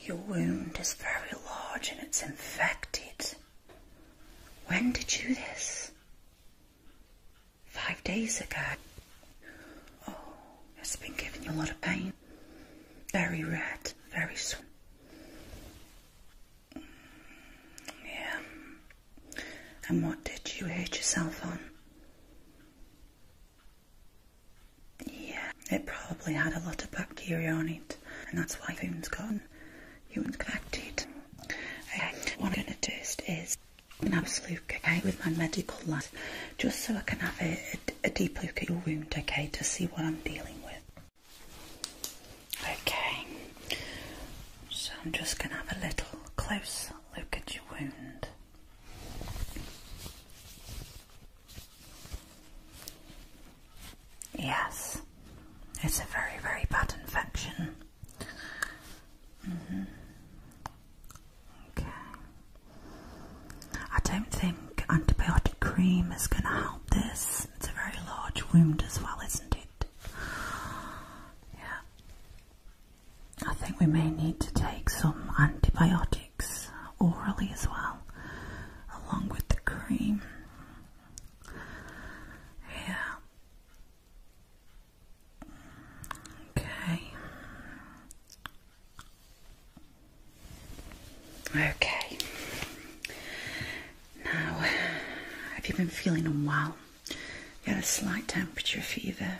Your wound is very large and it's infected. When did you do this? Five days ago. Oh, it's been giving you a lot of pain. Very red, very sore. Yeah. And what did you hurt yourself on? Yeah, it probably had a lot of bacteria on it, and that's why the wound's humans got humans connected. Okay, what I'm gonna do is an absolute okay with my medical light, just so I can have a, a deep look at your wound, okay, to see what I'm dealing with. Okay, so I'm just gonna have a little close look at your wound. Yes, it's a very, very bad infection. Mm-hmm. Okay. I don't think antibiotic cream is going to help this. It's a very large wound as well, isn't it? Yeah. I think we may need to take some antibiotics orally as well, along with the cream. Yeah. Okay. Okay. Now, have you been feeling unwell? You had a slight temperature fever.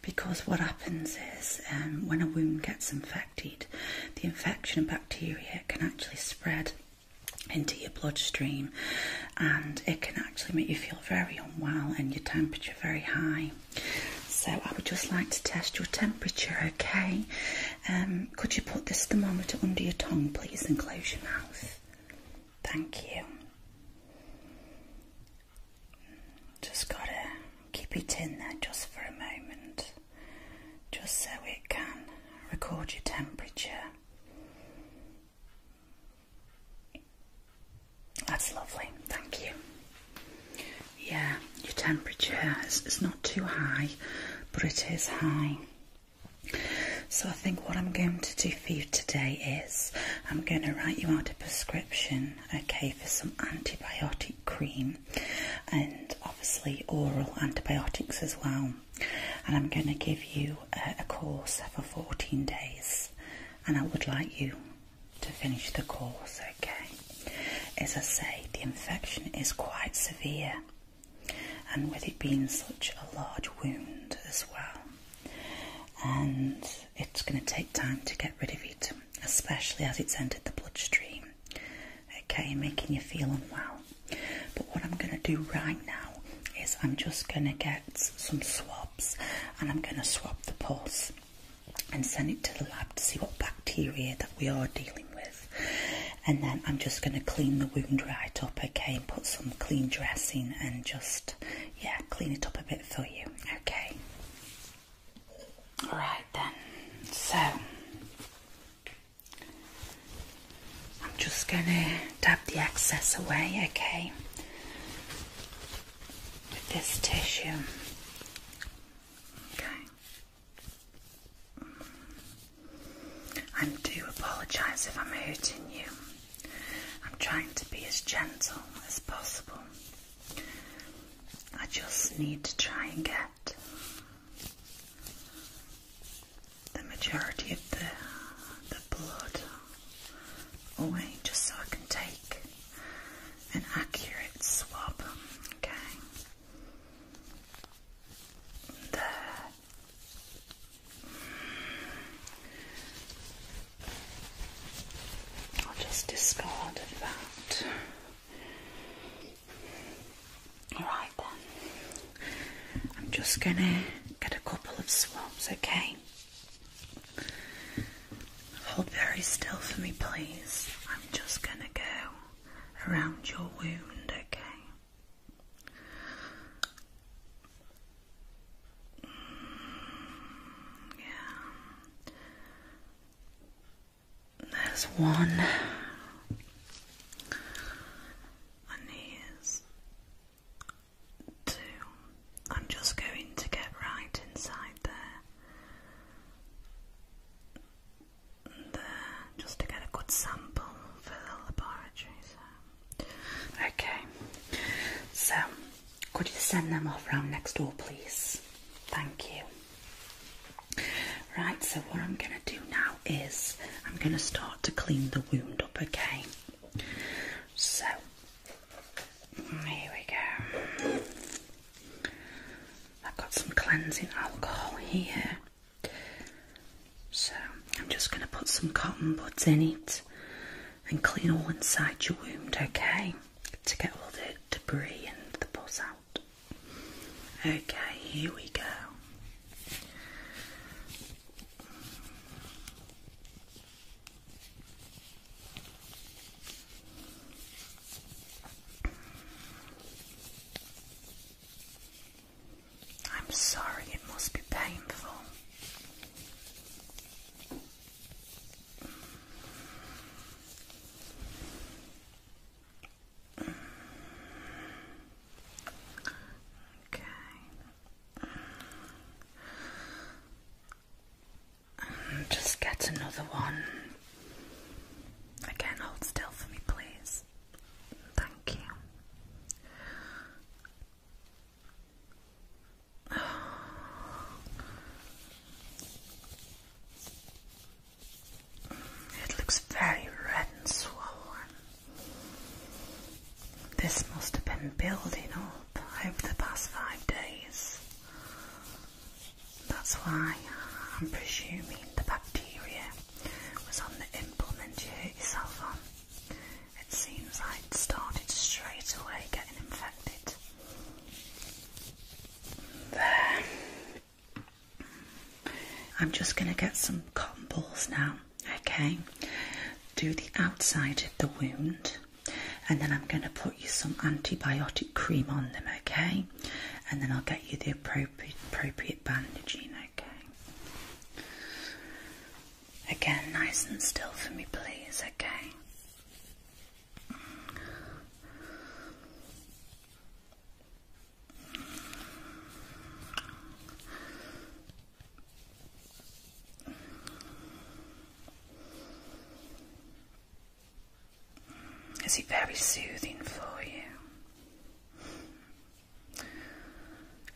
Because what happens is um, when a wound gets infected, the infection of bacteria can actually spread into your bloodstream and it can actually make you feel very unwell and your temperature very high. So, I would just like to test your temperature, okay? Um, could you put this thermometer under your tongue, please, and close your mouth? Thank you. Just gotta keep it in there just for a moment, just so it can record your temperature. That's lovely, thank you. Yeah, your temperature is, not too high, but it is high. So, I think what I'm going to do for you today is I'm going to write you out a prescription, okay, for some antibiotic cream and obviously oral antibiotics as well. And I'm going to give you a, course for 14 days, and I would like you to finish the course, okay. As I say, the infection is quite severe and with it being such a large wound as well. And it's going to take time to get rid of it, especially as it's entered the bloodstream, okay, making you feel unwell. But what I'm going to do right now is I'm just going to get some swabs and I'm going to swab the pulse and send it to the lab to see what bacteria that we are dealing with and then I'm just going to clean the wound right up, okay, put some clean dressing and just, yeah, clean it up a bit for you, okay. Alright then, so I'm just going to dab the excess away, okay, with this tissue. Okay. I do apologise if I'm hurting you. I'm trying to be as gentle as possible. I just need to try and get the majority of the, the blood away just so I can take an accurate swab. Okay. There, I'll just discard that. Alright then, I'm just going to get a couple of swabs, okay? Hold very still for me, please. I'm just going to go around your wound, okay? Yeah. There's one and here's two. I'm just going to get right inside there just to get a good sample for the laboratory. Okay, so could you send them off round next door, please? Thank you. Right, so what I'm going to do now is I'm going to start to clean the wound up, again. So, here we go. I've got some cleansing alcohol here. So I'm just going to put some cotton buds in it and clean all inside your wound, okay? To get all the debris and the pus out. Okay, here we go. I'm sorry, it must be painful. Okay. just get another one Again, hold still for me, please. Thank you. It looks very red and swollen. This must have been building up over the past five days. That's why I'm presuming the bacteria was on the implement you hit yourself on. It seems I would started straight away getting infected. There. I'm just going to get some cotton balls now, okay? Do the outside of the wound, and then I'm going to put you some antibiotic cream on them, okay? and then I'll get you the appropriate, appropriate bandaging, okay? Again, nice and still for me, please, okay? Is it very soothing for you?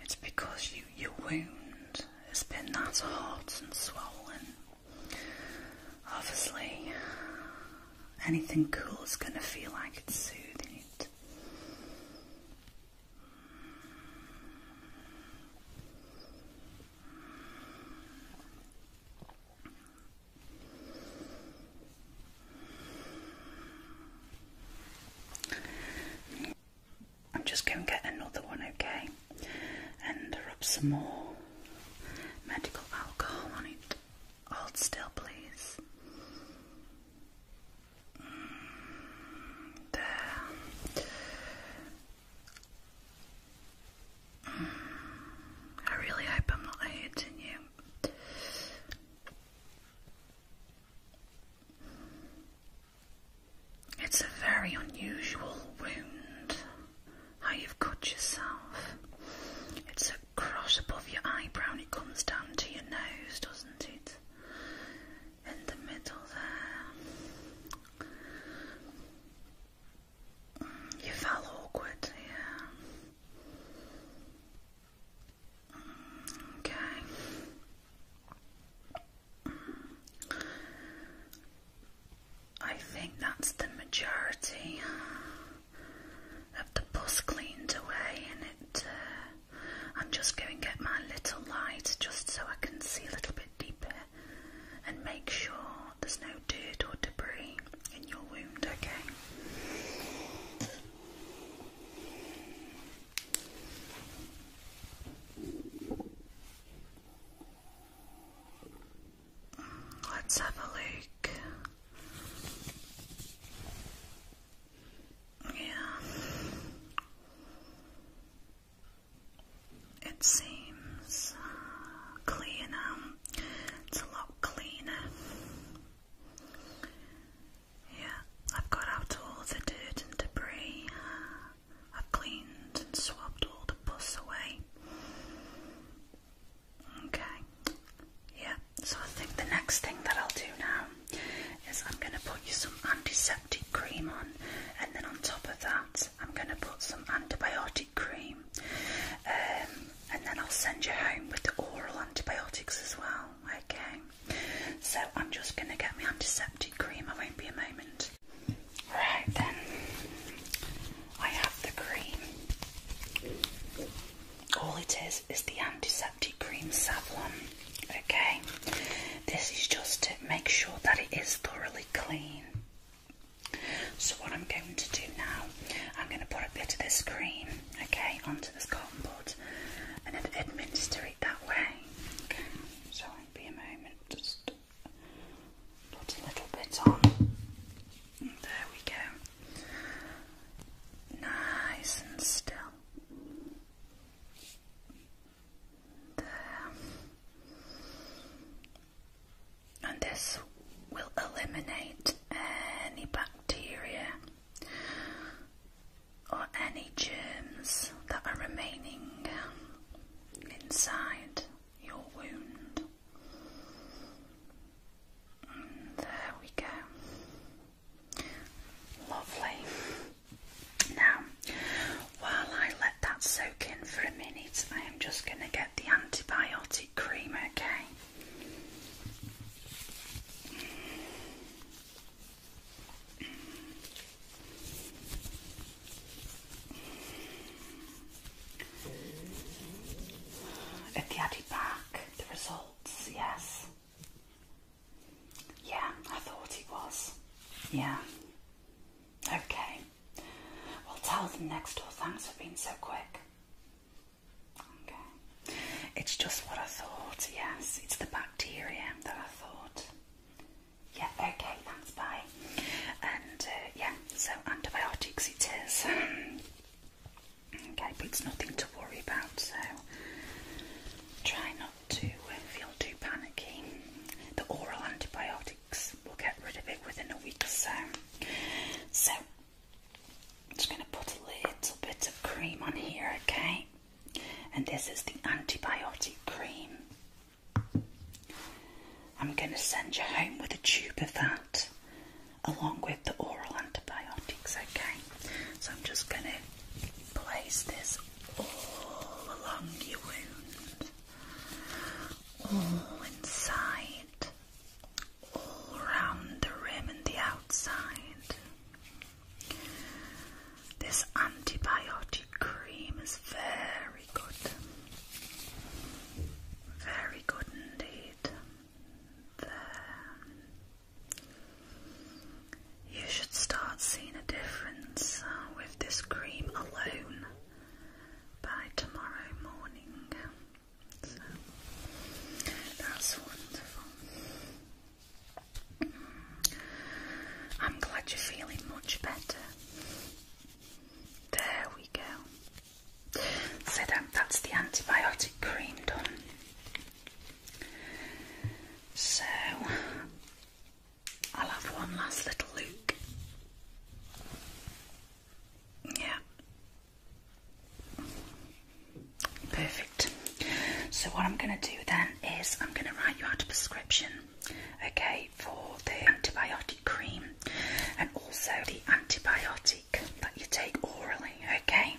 It's because your wound has been that hot and swollen. Obviously, anything cool is going to feel like it's soothing it. I'm just going to get another one, okay? And rub some more medical alcohol on it. Hold still, please. Mm, I really hope I'm not hurting you. It's a very unusual wound, how you've cut yourself. It's a cross above your eyebrow and it comes down to your nose, doesn't it? In the middle there. You felt awkward, yeah. Okay. I think that's the majority of the bus cleaned away, and it. Uh, I'm just going to get my little light just so I can see a little bit deeper and make sure there's no dirt or debris in your wound, okay? Let's have a look. Yeah. It seems uh, clean now. It's a lot cleaner. Yeah, I've got out all the dirt and debris. I've cleaned and swabbed all the pus away. Okay. Yeah, so I think the next thing that I'll do now is I'm going to put you some antiseptic antiseptic cream on, and then on top of that, I'm going to put some antibiotic cream, um, and then I'll send you home with the oral antibiotics as well. Okay, so I'm just going to get my antiseptic cream, I won't be a moment. Right then, I have the cream. All it is is the antiseptic cream Savlon. Okay, this is just to make sure that it is thoroughly clean. So what I'm going to do now, I'm going to put a bit of this cream, okay, onto this cotton bud and then administer it that way. so it'll be a moment, just put a little bit on. there we go. Nice and still. And this will eliminate any bacteria or any germs that are remaining inside your wound. there we go. Lovely. Now, while I let that soak in for a minute, I am just going to get the antibiotic cream, okay? Have you back the results? Yes. Yeah, I thought it was. Yeah. Okay. Well, tell them next door thanks for being so quick. Okay. It's just what I thought, yes. It's the bacteria that I thought. Yeah, okay, thanks, bye. And uh, yeah, so antibiotics it is. okay, but it's nothing to worry about, so try not to feel too panicky. The oral antibiotics will get rid of it within a week or so. So, I'm just going to put a little bit of cream on here, okay? And this is the antibiotic cream. I'm going to send you home with a tube of that along with the oral antibiotics, okay? So I'm just going to place this all along your wound, all inside, all round the rim and the outside. This antibiotic cream is very good. Very good indeed. You should start seeing a difference uh, with this cream alone by tomorrow morning. that's wonderful. Mm. I'm glad you're feeling much better. There we go. So that's the antibiotic cream done. So I'll have one last little look. Yeah. Perfect. So what I'm going to do then is I'm going to write you out a prescription, okay, for the antibiotic cream and also the antibiotic that you take orally, okay?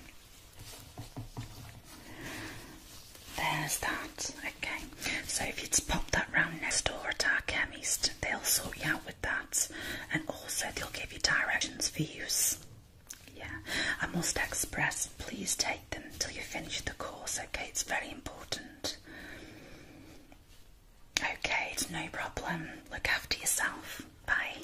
There's that. Okay. So if you just pop that round next door at our chemist, they'll sort you out with that, and also they'll give you directions for use. Yeah. I must express, please take them till you finish the course. Okay, it's very important. Okay, it's no problem. Look after yourself. Bye.